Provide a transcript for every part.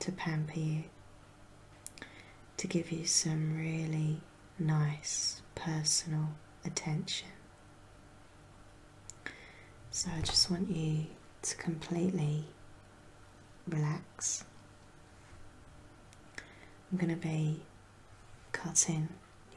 to pamper you, to give you some really nice personal attention. So I just want you to completely relax. I'm going to be cutting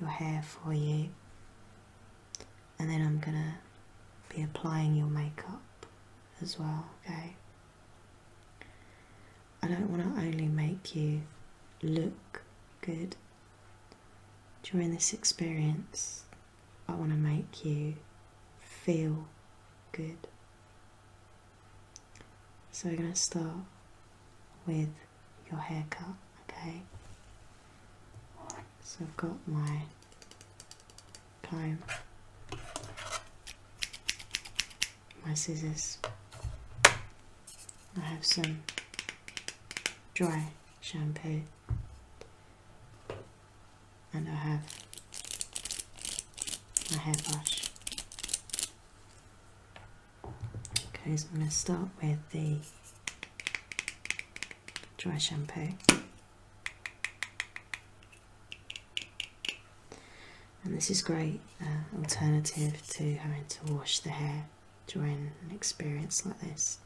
your hair for you and then I'm going to be applying your makeup as well, okay? I don't want to only make you look good during this experience, I want to make you feel good. So we're going to start with your haircut, okay? So I've got my time. My scissors. I have some dry shampoo, and I have my hairbrush. Okay, so I'm going to start with the dry shampoo. And this is great uh, alternative to having to wash the hair during an experience like this.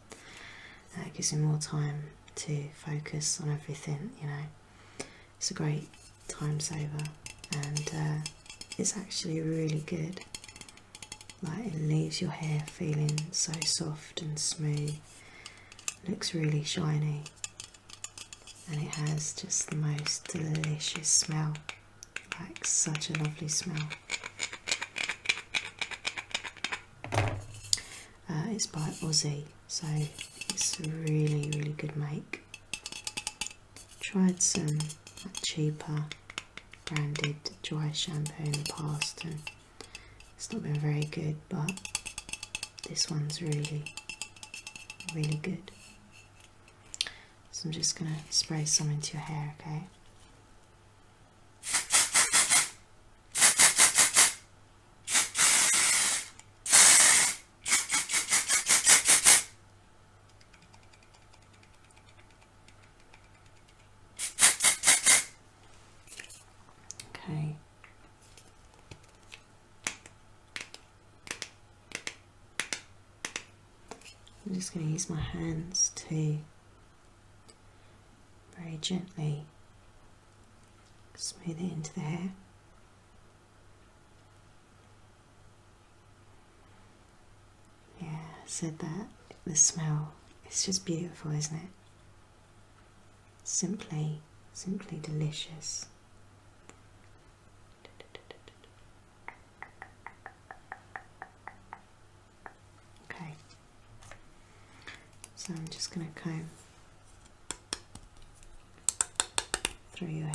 Uh, it gives you more time to focus on everything, you know. It's a great time saver and uh, it's actually really good. Like it leaves your hair feeling so soft and smooth, looks really shiny and it has just the most delicious smell like such a lovely smell uh, it's by Aussie so it's really really good make tried some cheaper branded dry shampoo in the past it's not been very good, but this one's really, really good. So I'm just going to spray some into your hair, okay? Okay, I'm just going to use my hands to very gently smooth it into the hair. Yeah, said that. The smell. It's just beautiful, isn't it? Simply, simply delicious. Okay, so I'm just going to comb through your hair.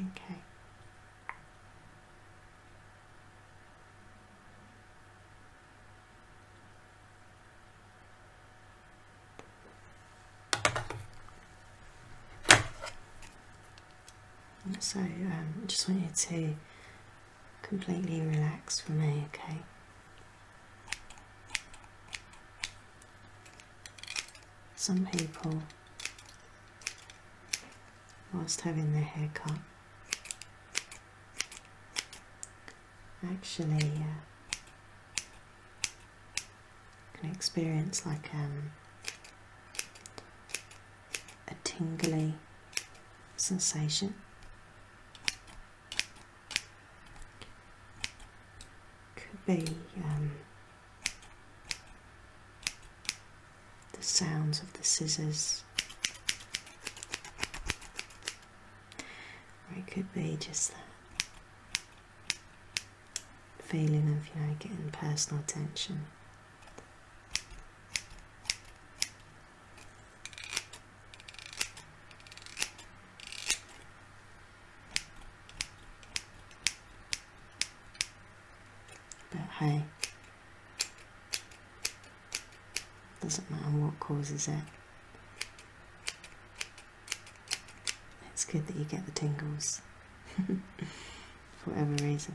Okay. So I um, just want you to completely relax for me, okay? Some people, whilst having their hair cut, actually uh, can experience like um, a tingly sensation could be um, the sounds of the scissors. Or it could be just that feeling of, you know, getting personal attention. But hey, doesn't matter what causes it. It's good that you get the tingles for every reason.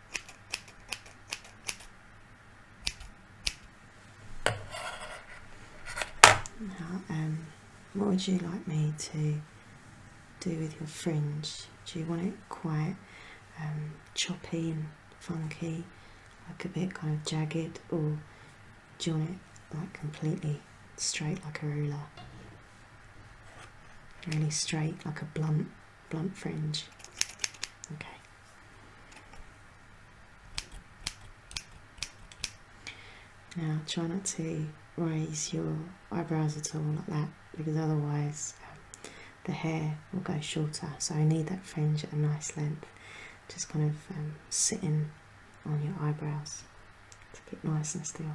um, what would you like me to do with your fringe? Do you want it quite um, choppy and funky, like a bit kind of jagged, or do you want it like completely straight like a ruler? Really straight like a blunt blunt fringe. Okay. Now try not to raise your eyebrows at all like that because otherwise um, the hair will go shorter. So I need that fringe at a nice length, just kind of um, sitting on your eyebrows to keep nice and still.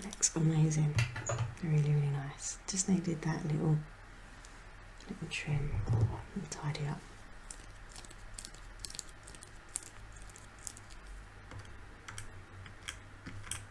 That looks amazing. Really, really nice. Just needed that little little trim and tidy up.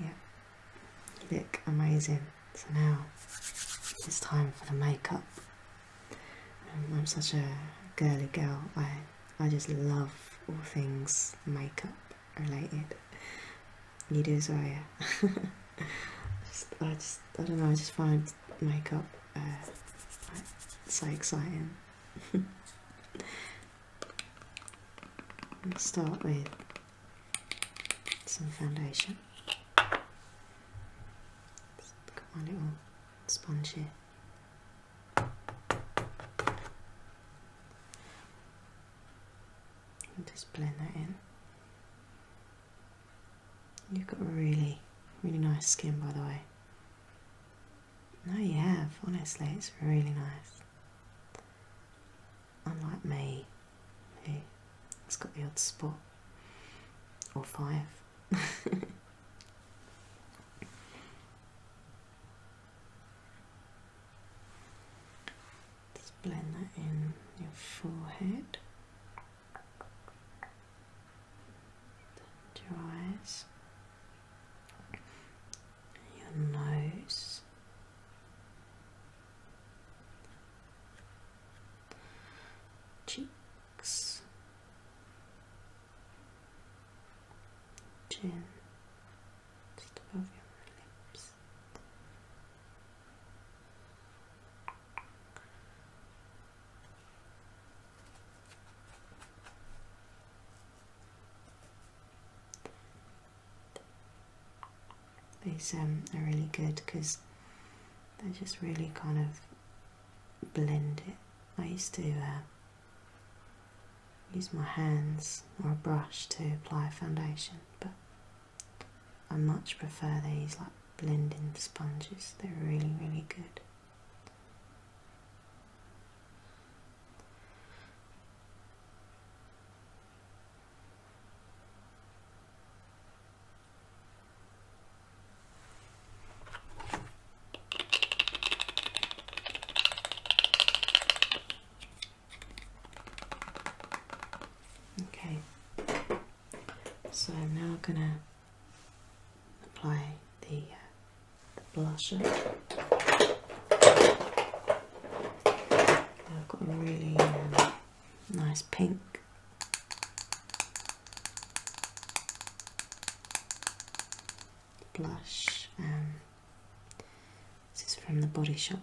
Yeah. look amazing. So now it's time for the makeup. Um, I'm such a girly girl. I I just love all things makeup related. You do as yeah. I just I don't know. I just find makeup uh, so exciting I'll start with some foundation Just got my little sponge here just blend that in. You've got really, really nice skin, by the way. No, you have, honestly, it's really nice. Unlike me, who has got the odd spot or five. Just blend that in your forehead. Down your eyes, your nose, cheeks, chin, just above your lips. These um, are really good because they just really kind of blend it. I used to uh, use my hands or a brush to apply foundation, but I much prefer these Blending sponges. They're really, really good. Okay, so I'm now gonna apply the, uh, blusher. I've got a really um, nice pink. Blush. Um, this is from the Body Shop.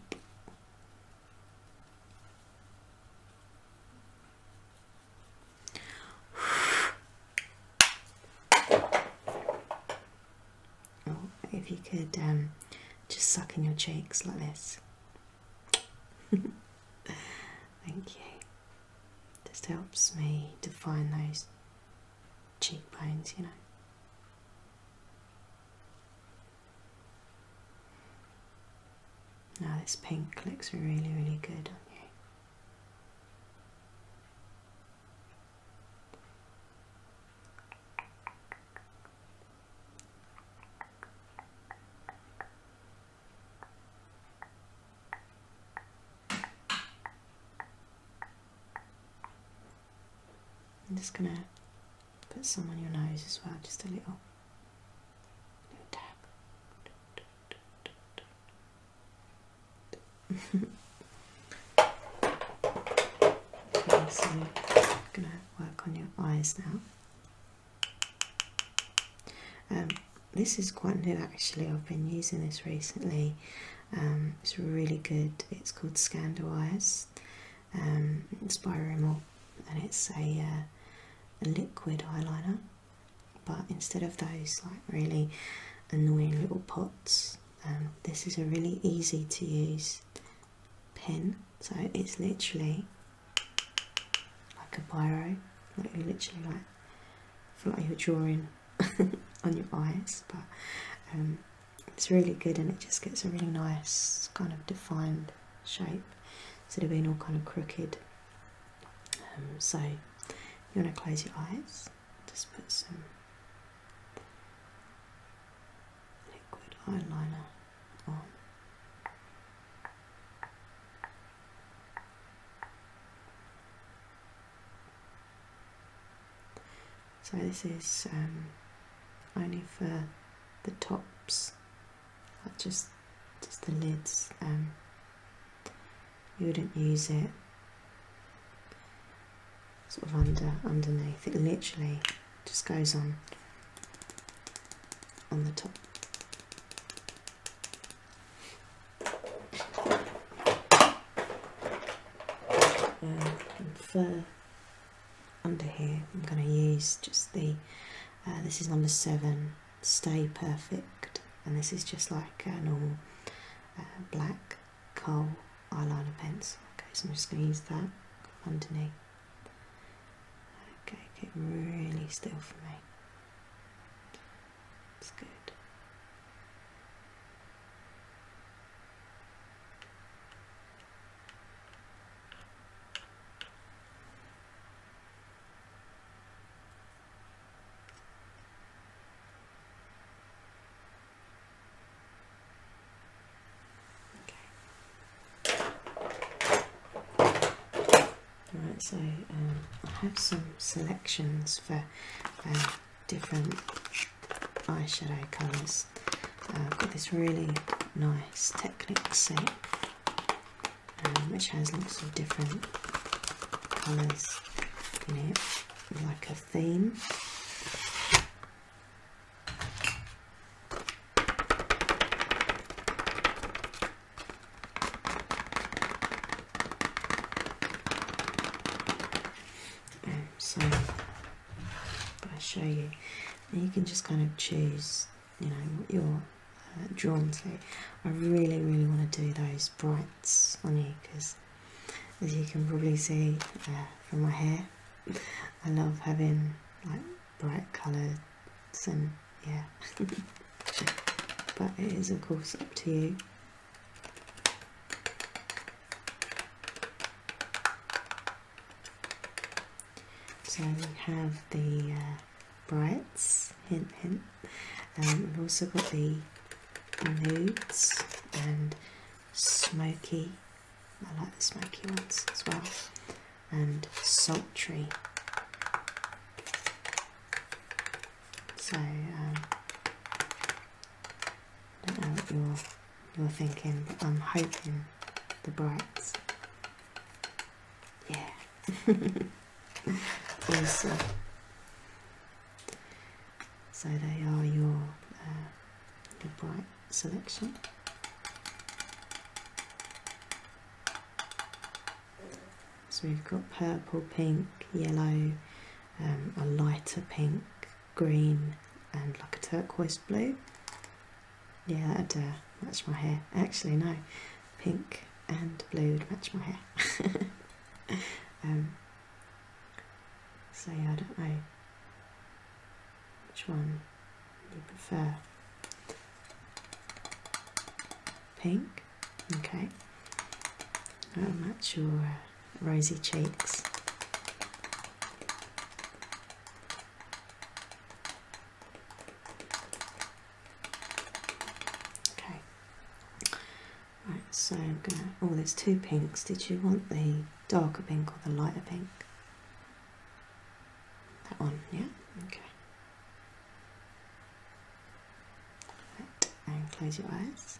Oh, if you could um, just suck in your cheeks like this. Thank you. This helps me define those cheekbones, you know. Now this pink looks really, really good on you. I'm just going to put some on your nose as well, just a little, little dab. I'm gonna work on your eyes now. Um, this is quite new actually, I've been using this recently. Um, it's really good, it's called Scandal um, it's by Rimmel and it's a uh, liquid eyeliner but instead of those like really annoying little pots um, this is a really easy to use pen so it's literally like a biro like you literally like feel like you're drawing on your eyes but um, it's really good and it just gets a really nice kind of defined shape instead of being all kind of crooked um, so you want to close your eyes, just put some liquid eyeliner on. So this is um, only for the tops just just the lids um, you wouldn't use it sort of under underneath it literally just goes on on the top uh, And fur under here I'm going to use just the uh, this is number seven stay perfect and this is just like a normal uh, black coal eyeliner pencil okay so I'm just going to use that underneath okay get really still for me it's good Okay. Right, so um, I have some selections for uh, different eyeshadow colours. I've got this really nice Technic set um, which has lots of different colours in it, like a theme. Um, so, i show you, and you can just kind of choose you know what you're uh, drawn to. I really, really want to do those brights on you because, as you can probably see uh, from my hair, I love having like bright colours and yeah. but it is of course up to you. So we have the uh, brights, hint hint. Um, I've also got the nudes and smoky. I like the smoky ones as well. And sultry. So um, I don't know what you're you're thinking, but I'm hoping the brights yeah. awesome. So they are your, uh, bright selection. So we've got purple, pink, yellow, um, a lighter pink, green and like a turquoise blue. Yeah, that matches my hair. Actually, no, pink and blue would match my hair. Um, so yeah, I don't know which one you prefer. Pink, okay. That'll match your uh, rosy cheeks. Okay. Right, so I'm gonna. Oh, there's two pinks. Did you want the darker pink or the lighter pink? That one, yeah? Okay. Right, and close your eyes.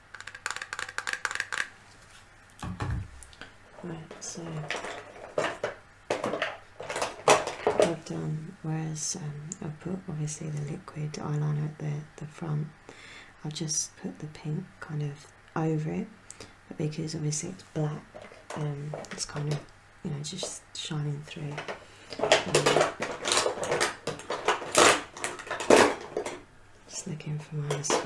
Right, so I've done, whereas um, I put obviously the liquid eyeliner at the, the front, I have just put the pink kind of over it, but because obviously it's black, um, it's kind of, you know, just shining through. Um, just looking for my as I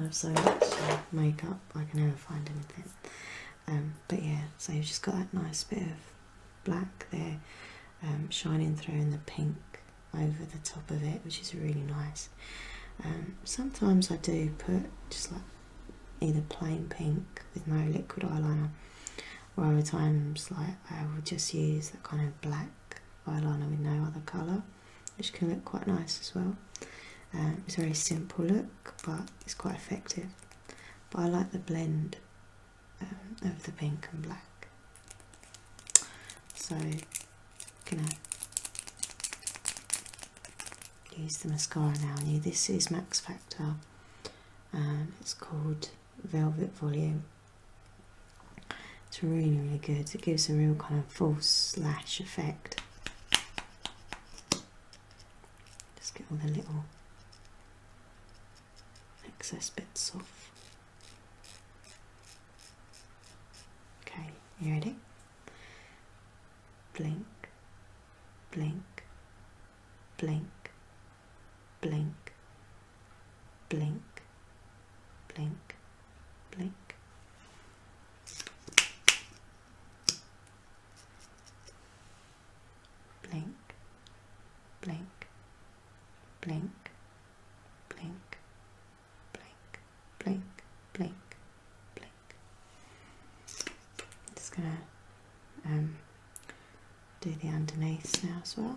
have so much makeup, I can never find anything. Um, but yeah, so you've just got that nice bit of black there um, shining through in the pink over the top of it, which is really nice. Um, sometimes I do put just like either plain pink with no liquid eyeliner, or other times like I will just use that kind of black eyeliner with no other colour, which can look quite nice as well. Um, it's a very simple look, but it's quite effective. But I like the blend um, of the pink and black. So, i gonna use the mascara now. New this is Max Factor, and um, it's called velvet volume. It's really, really good. It gives a real kind of full slash effect. Just get all the little excess bits off. Okay, you ready? Blink, blink, blink, blink, blink, blink, blink. Blink, blink, blink, blink, blink, blink, blink, blink. I'm just gonna um, do the underneath now as well.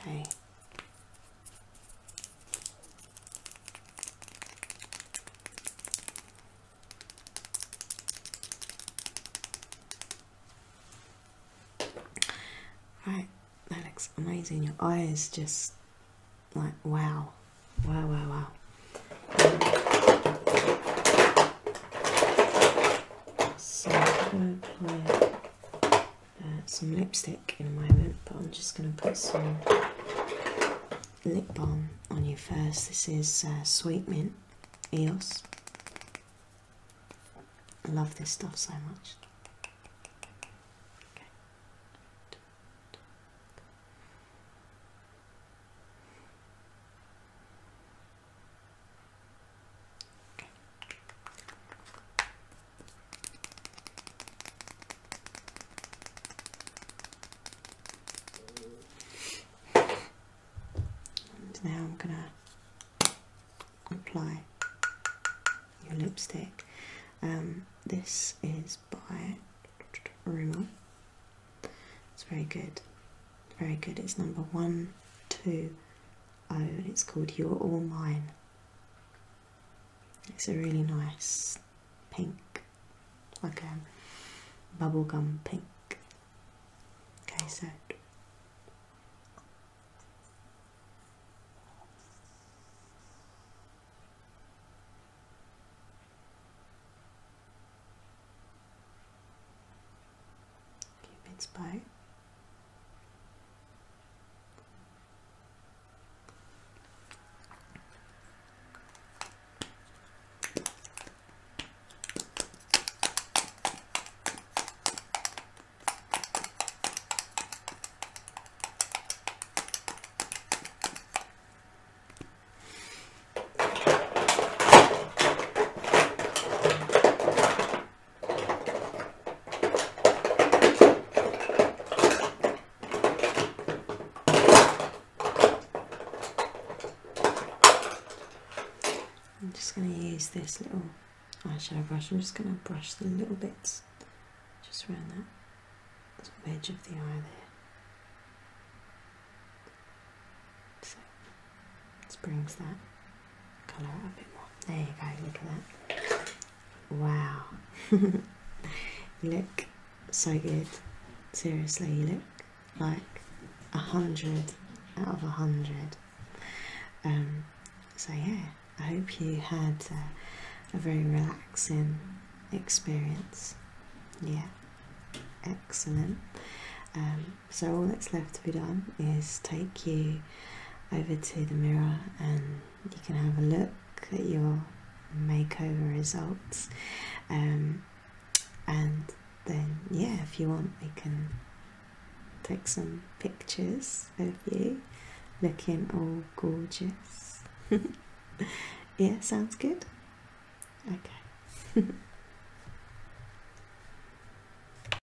Okay. Right, that looks amazing. Your eyes just like wow, wow, wow, wow. So good. Uh, some lipstick in a moment, but I'm just going to put some lip balm on you first. This is uh, Sweet Mint EOS. I love this stuff so much now I'm going to apply your lipstick. Um, this is by Rimmel. It's very good. Very good. It's number one, two, Oh, and it's called You're All Mine. It's a really nice pink, like a bubblegum pink. Okay, so. Keep it bow. I'm just going to use this little eyeshadow brush. I'm just going to brush the little bits just around that sort edge of the eye there. So, this brings that there you go, look at that. Wow. look so good. Seriously, you look like a hundred out of a hundred. Um, so yeah, I hope you had a very relaxing experience. Yeah, excellent. Um, so all that's left to be done is take you over to the mirror and you can have a look at your makeover results um, and then yeah if you want we can take some pictures of you looking all gorgeous yeah sounds good okay